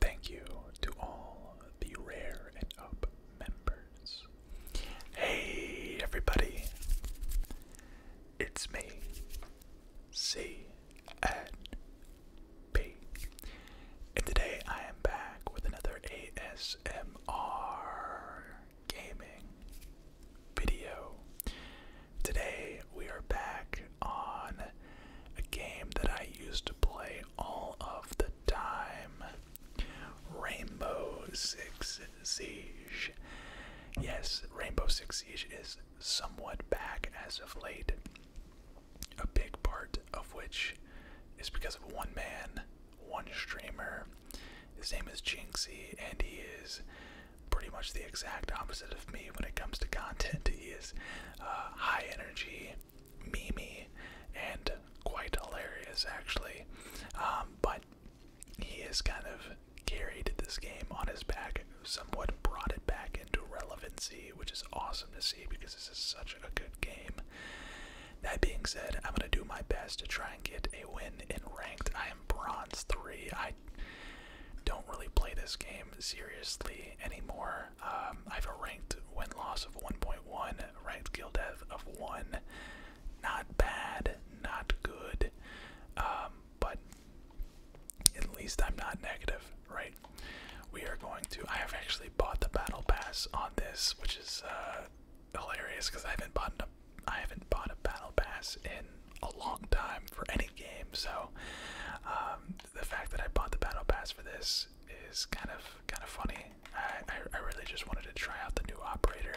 Thank you to all the Rare and Up members. Hey, everybody! It's me, C N P, and today I am back with another ASMR gaming video. Today we are back on a game that I used play all of the time. Rainbow Six Siege. Yes, Rainbow Six Siege is somewhat back as of late. A big part of which is because of one man, one streamer. His name is Jinxie, and he is pretty much the exact opposite of me when it comes to content. He is uh, high energy, Mimi and quite hilarious actually. Um, but he has kind of carried this game on his back, somewhat brought it back into relevancy, which is awesome to see because this is such a good game. That being said, I'm gonna do my best to try and get a win in ranked. I am bronze three. I don't really play this game seriously anymore. Um, I have a ranked win loss of 1.1, ranked kill death of 1. Not bad, not good, um, but at least I'm not negative, right? We are going to. I have actually bought the battle pass on this, which is uh, hilarious because I haven't bought a I haven't bought a battle pass in a long time for any game. So um, the fact that I bought the battle pass for this is kind of kind of funny. I, I I really just wanted to try out the new operator,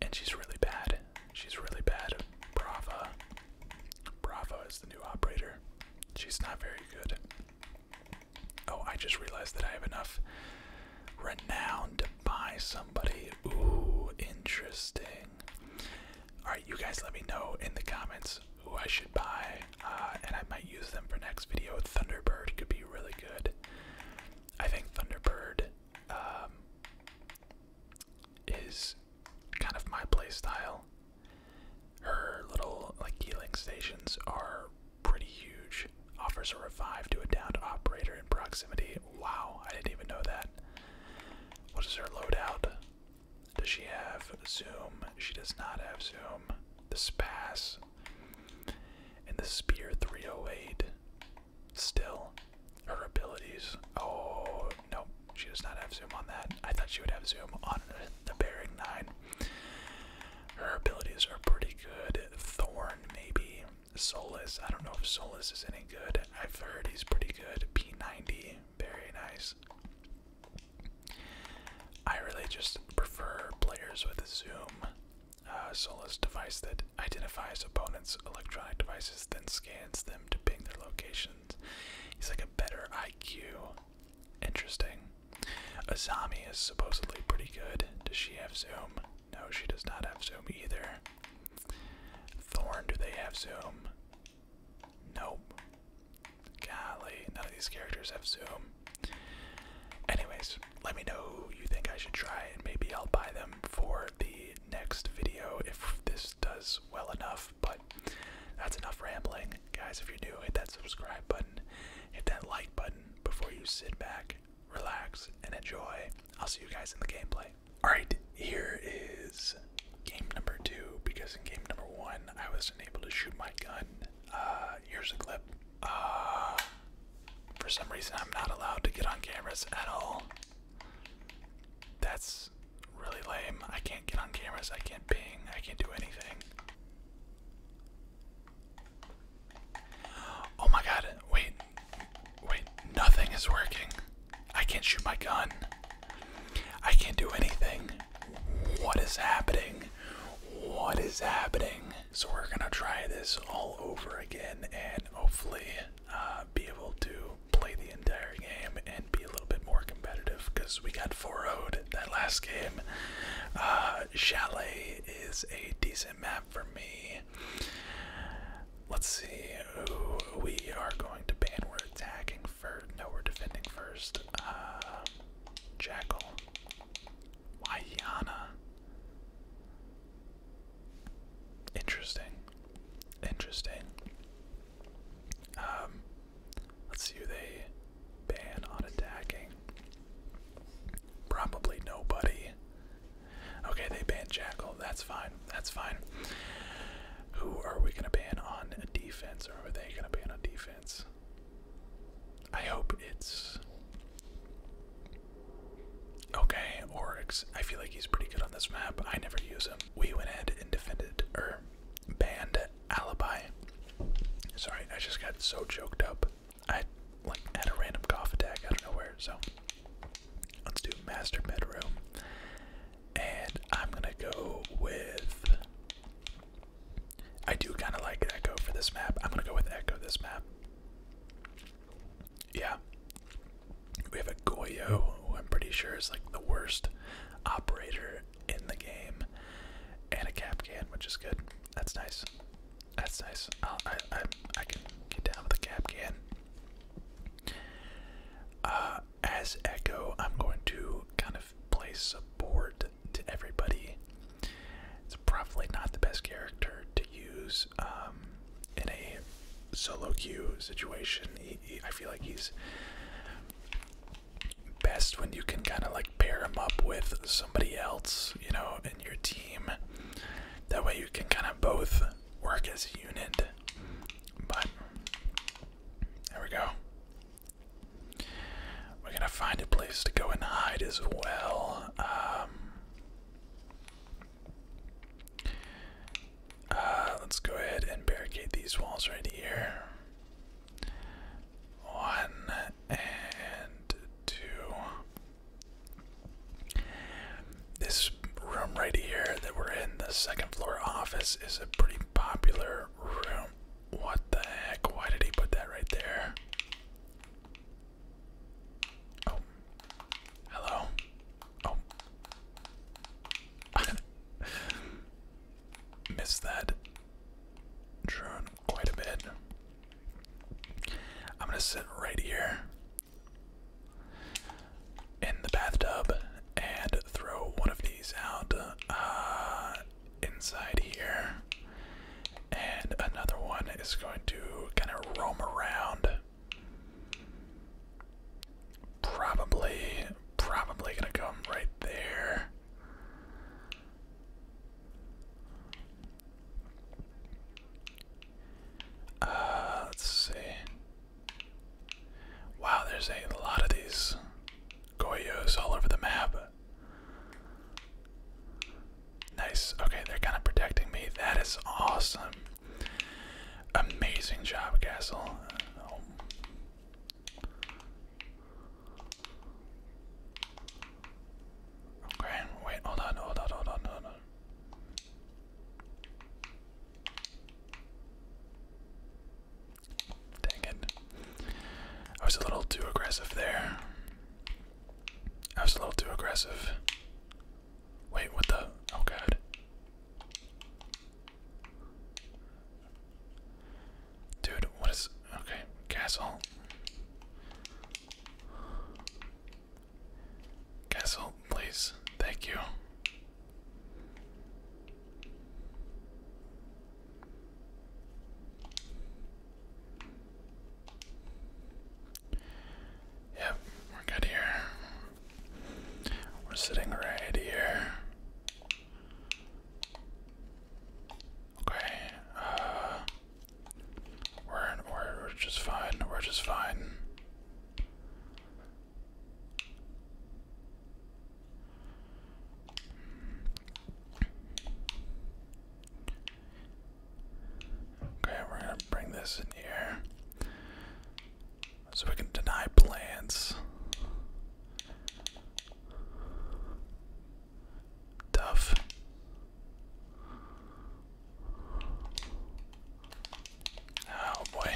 and she's really bad. She's really bad. Brava, Brava is the new operator. She's not very good. Oh, I just realized that I have enough renown to buy somebody. Ooh, interesting. Alright, you guys let me know in the comments who I should buy, uh, and I might use them for next video. Thunderbird could be really good. I think Thunderbird um, is kind of my playstyle. Her little like healing stations are pretty huge. Offers a revive to a downed operator in proximity. Wow, I didn't even know that. What is her loadout? Does she have Zoom? She does not have Zoom. The Spass, And the Spear 308. Still. Her abilities. Oh, no, She does not have Zoom on that. I thought she would have Zoom on the Bearing 9. Her abilities are pretty good. Thorn, maybe. Solus. I don't know if Solus is any good. I've heard he's pretty good. P90. Very nice. I really just prefer players with a zoom uh, soulless device that identifies opponents' electronic devices, then scans them to ping their locations. He's like a better IQ. Interesting. Azami is supposedly pretty good. Does she have Zoom? No, she does not have Zoom either. Thorn, do they have Zoom? Nope. Golly, none of these characters have Zoom. Anyways, let me know who you think I should try, and maybe I'll buy them for the next video if this does well enough. But that's enough rambling. Guys, if you're new, hit that subscribe button, hit that like button before you sit back, relax, and enjoy. I'll see you guys in the gameplay. Alright, here is game number two because in game number one I wasn't able to shoot my gun. here's uh, a clip. Uh, for some reason I'm not allowed to get on cameras at all. That's really lame. I can't get on cameras. I can't ping. I can't do anything. Oh my god, wait, wait, nothing is working. I can't shoot my gun. I can't do anything. What is happening? What is happening? So we're gonna try this all over again and hopefully uh, be able to play the entire game and be a little bit more competitive because we got 4 0 that last game. Uh, Chalet is a decent map for me. Let's see we are going to ban. we attacking first. No, we're defending first. Um, Jackal. Wayana. Interesting. Interesting. Um, let's see who they ban on attacking. Probably nobody. Okay, they ban Jackal. That's fine. That's fine. Who are we going to ban on defense? Or are they going to ban on defense? I hope it's. Okay, Oryx. I feel like he's pretty good on this map. I never use him. We went ahead and defended, or banned Alibi. Sorry, I just got so choked up. I like had a random cough attack out of nowhere, so let's do Master Bedroom. And I'm gonna go with. I do kind of like Echo for this map. I'm gonna go with Echo this map. Yeah. We have a Goyo, who I'm pretty sure is like the worst operator in the game, and a Capcan, which is good. That's nice. That's nice. i I I can get down with a Capcan. Uh, as Echo, I'm going to kind of of plays support to everybody. It's probably not the best character to use um, in a solo queue situation. I feel like he's best when you can kind of like pair him up with somebody else, you know, in your team. That way you can kind of both work as a unit. But there we go. We're gonna find a place to go and hide as well. Um, uh, let's go ahead and barricade these walls right here. One and two. This room right here that we're in, the second floor office, is a pretty popular room. What the heck? Why did he put that right there? Oh. Hello? Oh. Missed that drone quite a bit. I'm gonna sit right here in the bathtub and throw one of these out uh, inside here. And another one is going to kind of roam around. Probably, probably gonna come right there. Uh, let's see. Wow, there's a lot of these Goyos all over the map. Nice. Okay, they're kind of protecting me. That is awesome. Amazing job, Castle. Okay, wait, hold on, hold on, hold on, hold on. Dang it. I was a little too aggressive there. I was a little too aggressive. Wait, what the? Oh god. Dude, what is. Okay, castle. Castle, please. Thank you. Yep, we're good here. We're sitting right here. Okay, uh, we're we're just fine, we're just fine. Okay, we're gonna bring this in here so we can deny plans. Tough. Oh boy.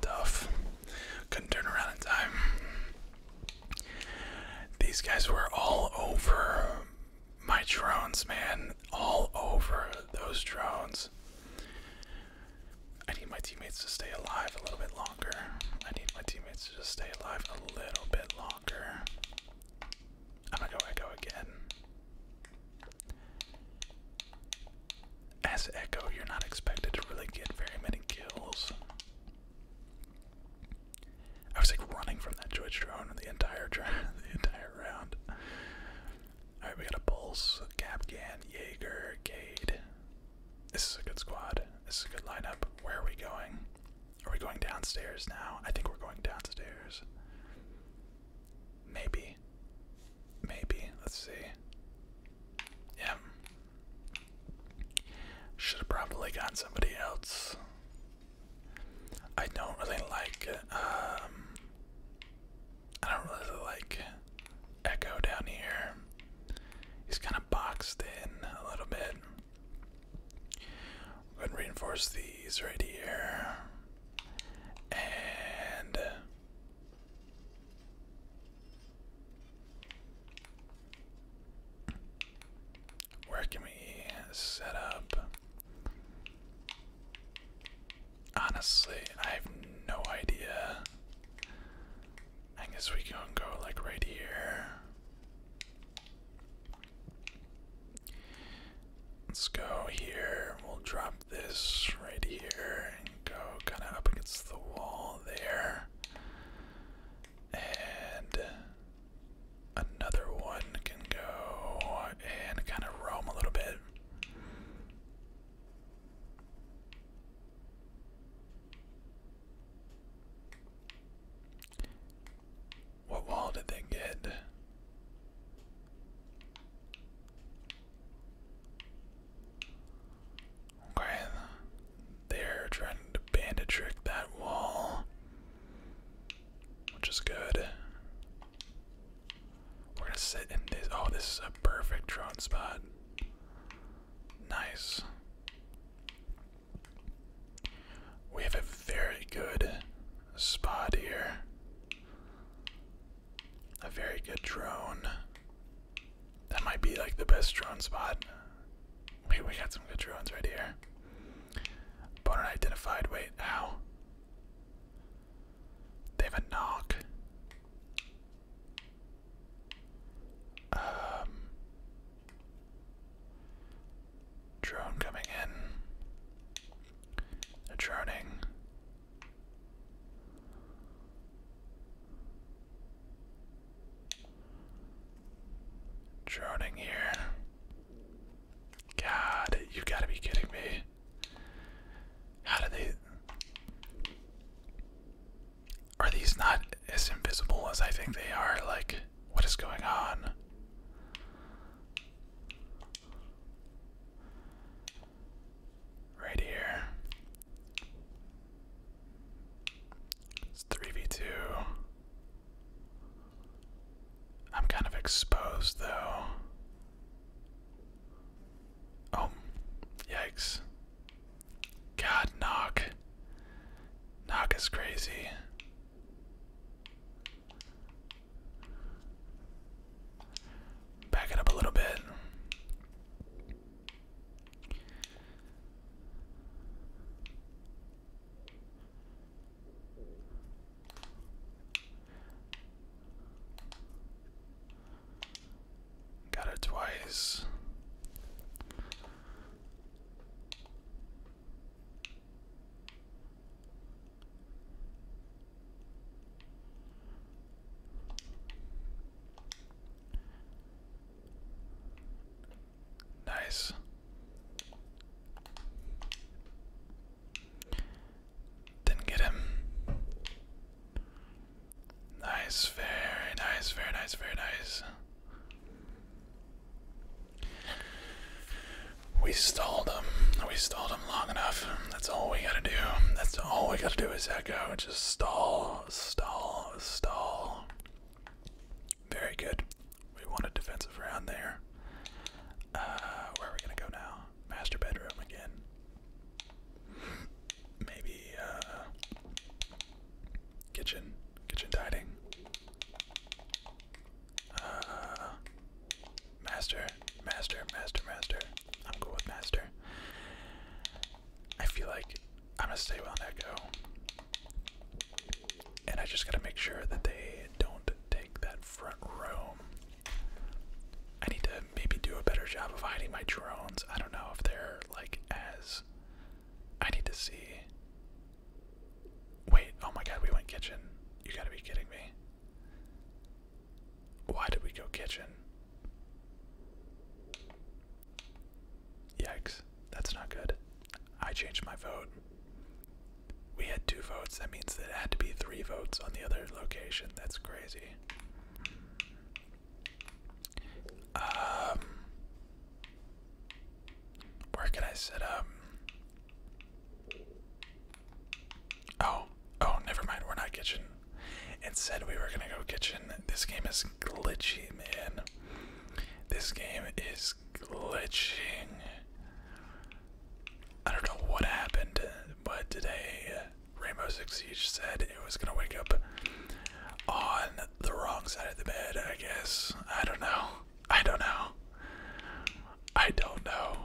Tough. Couldn't turn around in time. These guys were all over my drones, man. All over those drones. I need my teammates to stay alive a little bit longer. I need my teammates to just stay alive a little bit longer. I'm gonna go Echo again. As Echo, you're not expected to really get very many kills. I was like running from that Twitch drone the entire the entire round. Alright, we got a Pulse, Capcan, Jaeger, Cade. This is a good squad. This is a good lineup. Where are we going? Are we going downstairs now? I think we're going downstairs. Maybe. Maybe. Let's see. Yeah. Should have probably got somebody else. I don't really like um I don't really like Echo down here. He's kind of boxed in a little bit. We're gonna reinforce these right here. And where can we set up? Honestly, I have no idea. I guess we can go like right here. Let's go here. We'll drop this right here and go kind of up against the wall there. And another one can go and kind of roam a little bit. What wall did they get? Okay, they're trying to bandit trick that wall, which is good. We're gonna sit in this. Oh, this is a perfect drone spot. Nice. We have a very good spot here. A very good drone. That might be like the best drone spot. Wait, we got some good drones right here. Opponent identified. Wait, ow. They have a knock. Um drone coming in. droning. Droning here. God, you gotta be kidding me. How do they. Are these not as invisible as I think they are? Like, what is going on? Right here. It's 3v2. I'm kind of exposed though. Oh, yikes. God, knock. Knock is crazy. Back it up a little bit. Got it twice. Nice. Didn't get him. Nice, very nice, very nice, very nice. We stalled him. We stalled him long enough. That's all we gotta do. That's all we gotta do is echo. Just stall, stall, stall. Very good. We want a defensive round there. Uh, where are we gonna go now? Master bedroom again. Maybe, uh, kitchen, kitchen dining. Uh, master, master, master, master. I'm cool with master. I feel like I'm gonna stay on Echo. And I just gotta make sure that they don't take that front room. I need to maybe do a better job of hiding my drones. I don't know if they're like as. I need to see. Wait, oh my god, we went kitchen. You gotta be kidding me. Why did we go kitchen? Yikes, that's not good. I changed my vote. We had two votes. That means that it had to be three votes on the other location. That's crazy. Um, where can I set up? Oh, oh, never mind. We're not kitchen. Instead, we were gonna go kitchen. This game is glitchy, man. This game is glitching. I don't know what happened, but today Rainbow Six Siege said it was gonna wake up on the wrong side of the bed, I guess. I don't know. I don't know. I don't know.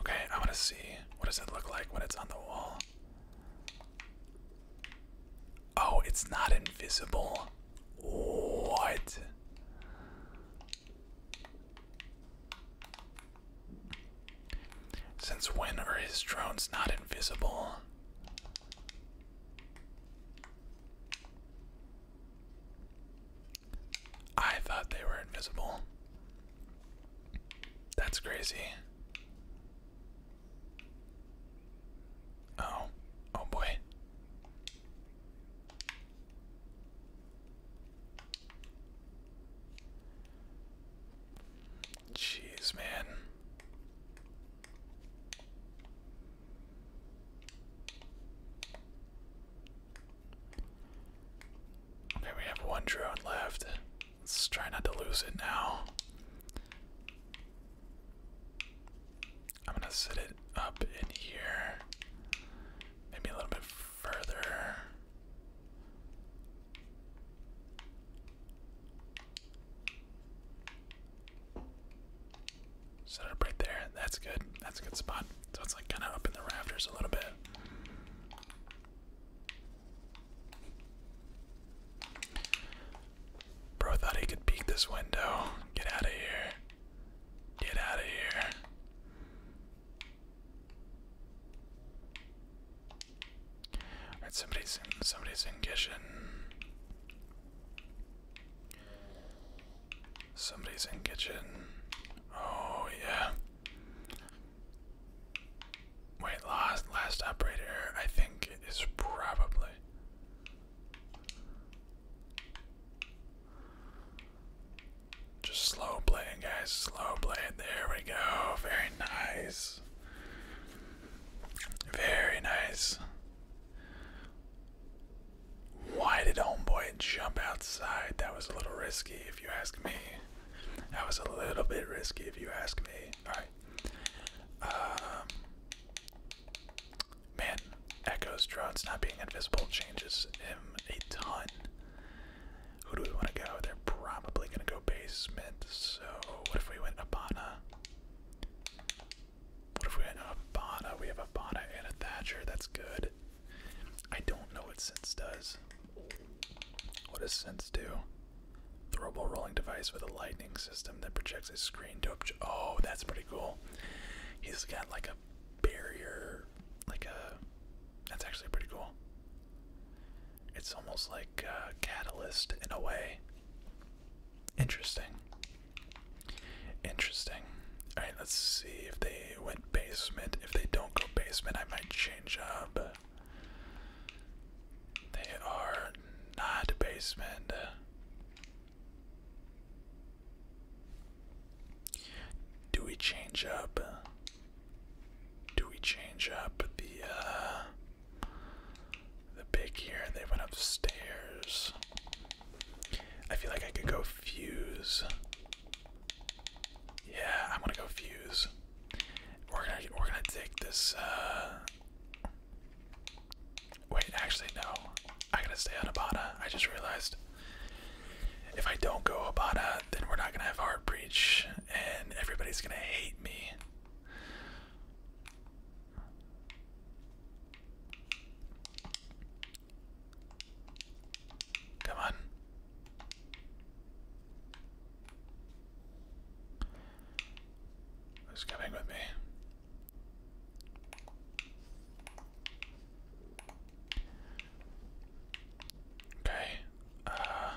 Okay, I wanna see what does it look like when it's on the wall. Oh, it's not invisible. What? Since when are his drones not invisible? I thought they were invisible. That's crazy. Oh, oh boy. Jeez, man. Okay, we have one drone left. Let's try not to lose it now. I'm gonna set it up in here. Maybe a little bit further. Set it up right there. That's good. That's a good spot. So it's like kind of up in the rafters a little bit. Bro thought he could peek this window. Get out of here. Get out of here. somebody's in somebody's in kitchen. Somebody's in kitchen. Oh yeah. Wait, last last operator I think is probably just slow playing, guys. Slow playing. There we go. Very nice. Very nice. Why did Homeboy jump outside? That was a little risky, if you ask me. That was a little bit risky, if you ask me. All right. Um, Man, Echo's drones not being invisible changes him a ton. Who do we want to go? They're probably going to go basement, so what if we went Abana? What if we went Abana? We have Abana and a Thatcher, that's good. I don't know what Sense does. What does Sense do? Throwable rolling device with a lightning system that projects a screen to. Oh, that's pretty cool. He's got like a barrier, like a. Uh, that's actually pretty cool. It's almost like a uh, catalyst in a way. Interesting. Interesting. All right, let's see if they went basement. If they don't go basement, I might change up. They are not basement. Do we change up? Do we change up the uh, the pick here? They went upstairs. I feel like I could go fuse. Yeah, I'm gonna go fuse. We're gonna we're gonna take this. Uh, Wait, actually, no. I gotta stay on Abana. I just realized if I don't go Abana, then we're not gonna have Hard Breach, and everybody's gonna hate me. Come on. Who's coming with me? Okay. Uh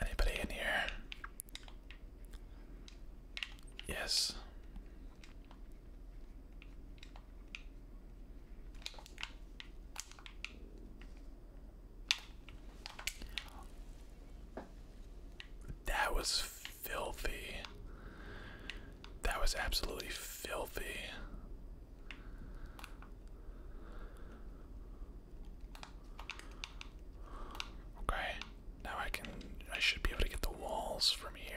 Anybody in here? Yes. That was filthy. That was absolutely filthy. Okay, now I can. I should be able to get the walls from here.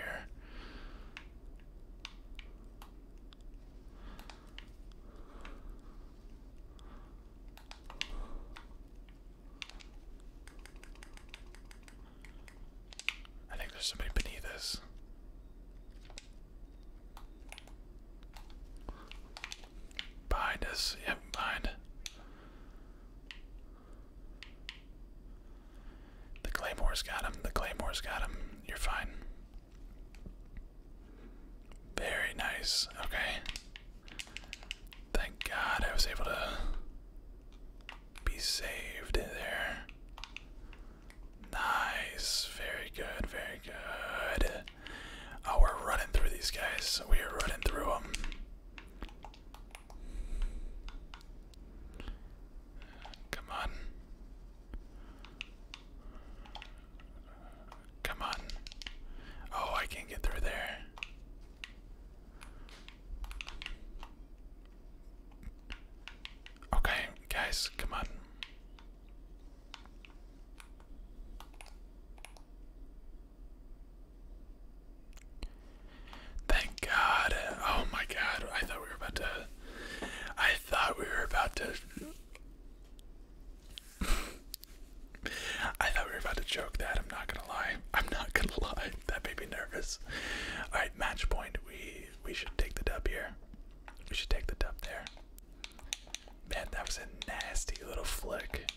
I think there's somebody beneath us. Behind us, yep, behind. The Claymore's got him, the Claymore's got him. You're fine. Very nice, okay. Thank God I was able to be saved there. Nice. Very good. Very good. Oh, we're running through these guys. We are running through them. Come on. Come on. Oh, I can get through there. Okay, guys, come on. Thank God. Oh my God, I thought we were about to. I thought we were about to. I thought we were about to joke that. I'm not gonna lie. I'm not gonna lie. That made me nervous. All right, match point. We we should take the dub here. We should take the dub there. Man, that was a nasty little flick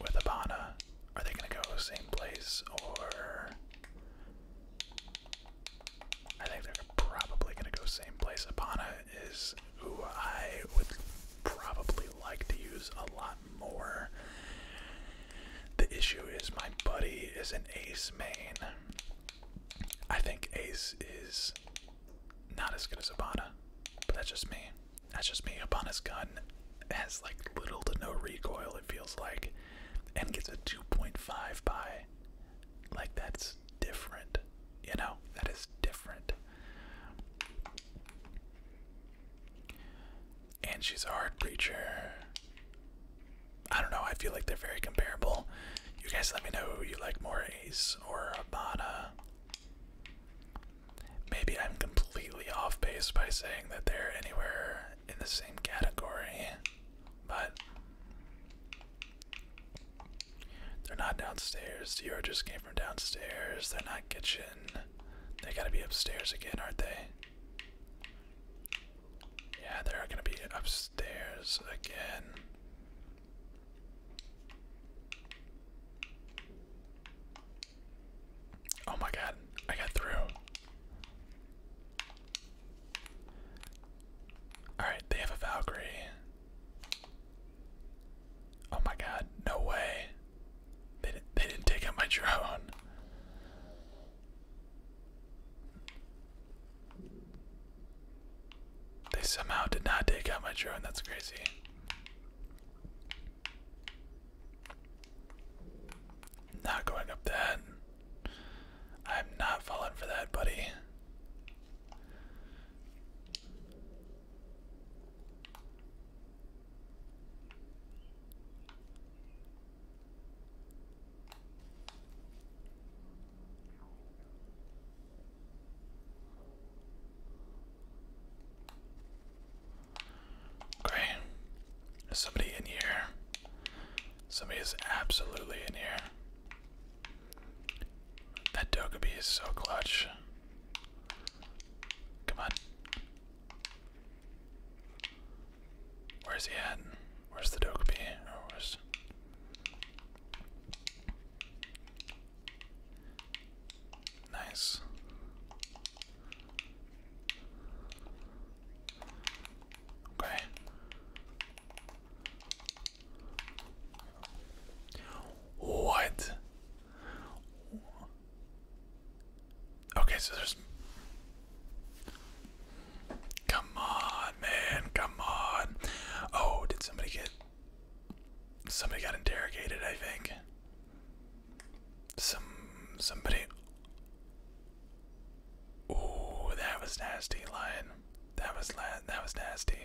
with Abana. Are they gonna go same place or? I think they're probably gonna go same place. Abana is who I would probably like to use a lot more. The issue is my buddy is an ace main. I think ace is not as good as Abana, but that's just me. That's just me. his gun has like little to no recoil, it feels like, and gets a 2.5 by. Like, that's different. You know, that is different. And she's a hard preacher. I don't know, I feel like they're very comparable. You guys let me know who you like more, Ace or Abana. Maybe I'm completely off base by saying that they're anywhere in the same category, but they're not downstairs. Dior just came from downstairs. They're not kitchen. They gotta be upstairs again, aren't they? Yeah, they're gonna be upstairs again. Oh my god, I got through. Alright, they have a Valkyrie. Oh my god, no way. They they didn't take out my drone. They somehow did not take out my drone, that's crazy. Not going up that. I'm not falling for that, buddy. Okay. There's somebody in here. Somebody is absolutely in here. That Dokubi is so clutch. Come on. Where's he at? Where's the Dokubi? Or oh, where's... Nice. Okay. What? Okay, so there's. Come on, man, come on. Oh, did somebody get. Somebody got interrogated, I think. Some. Somebody. Ooh, that was nasty, Lion. That was la that was nasty.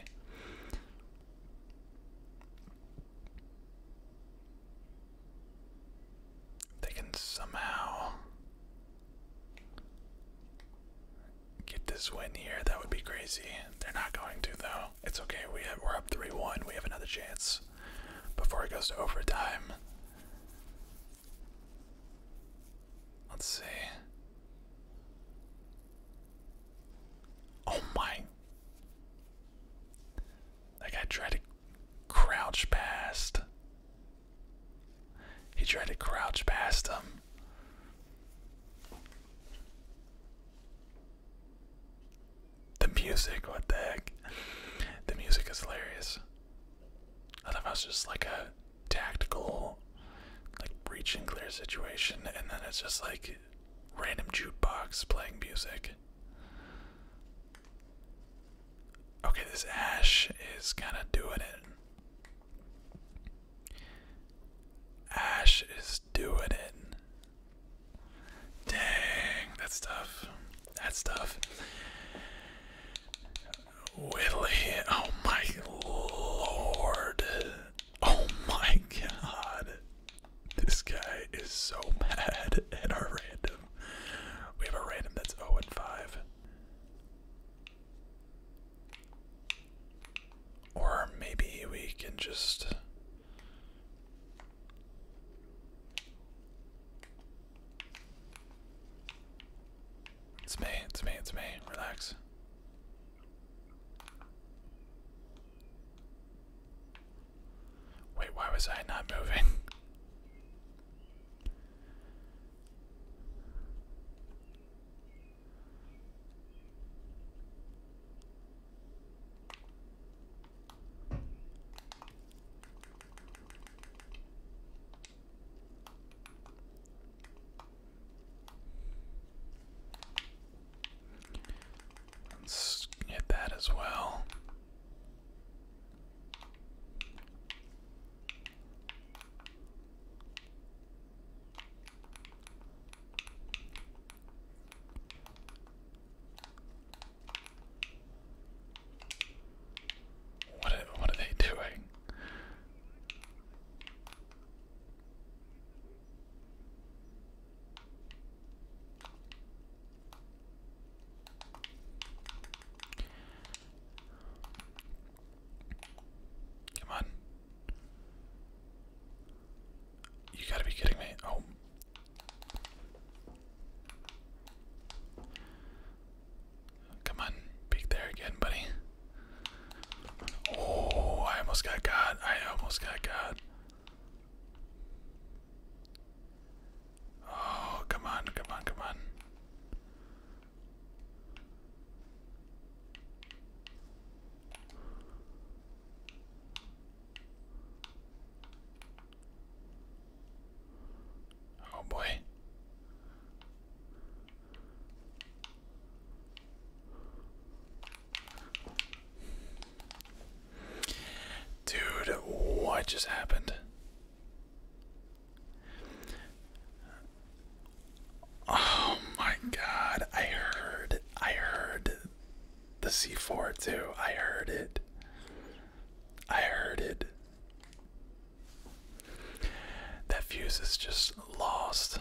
They can somehow get this win here. That would be crazy. They're not going to though. It's okay. We are up three one. We have another chance before it goes to overtime. Let's see. Oh my. That guy tried to crouch past. He tried to crouch past him. The music, what the heck? The music is hilarious. I thought it was just like a tactical, like breach and clear situation, and then it's just like random jukebox playing music. Okay, this Ash is kind of doing it. Ash is doing it. Dang, that's tough. That's tough. Whitley, oh my lord. Oh my god. This guy is so mad at our random. We have a random that's 0 and 5. Or maybe we can just. It's me, it's me, it's me. Relax. Wait, why was I not moving? Let's hit that as well. What what are they doing? Come on. You gotta be kidding me. Oh. Come on. Peek there again, buddy. Oh, I almost got God. I almost got God. Oh, come on, come on, come on. Oh, boy. Dude, what just happened? Oh my god, I heard I heard the C4 too. I heard it. I heard it. That fuse is just lost.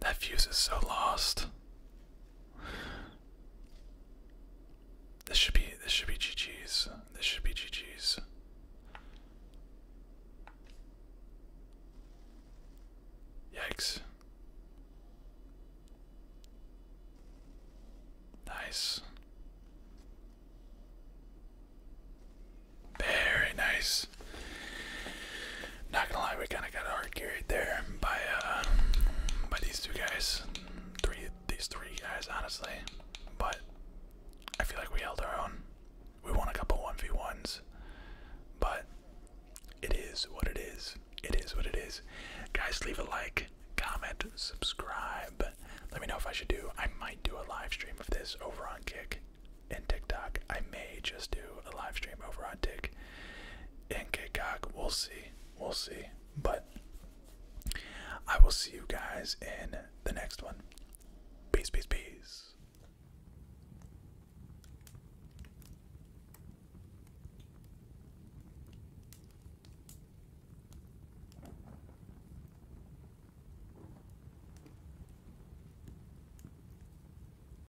That fuse is so lost. This should be this should be GG's. This should be GG's. Yikes. Nice. Very nice. Not gonna lie, we kind of got a hard carried there by uh, by these two guys, three these three guys, honestly. But I feel like we held our own. We won a couple one v ones, but it is what it is. It is what it is. Guys, leave a like, comment, subscribe. Let me know if I should do. I might do a live stream of this over on Kick and TikTok. I may just do a live stream over on Tik and Kikok. We'll see. We'll see. But I will see you guys in the next one. Peace, peace, peace.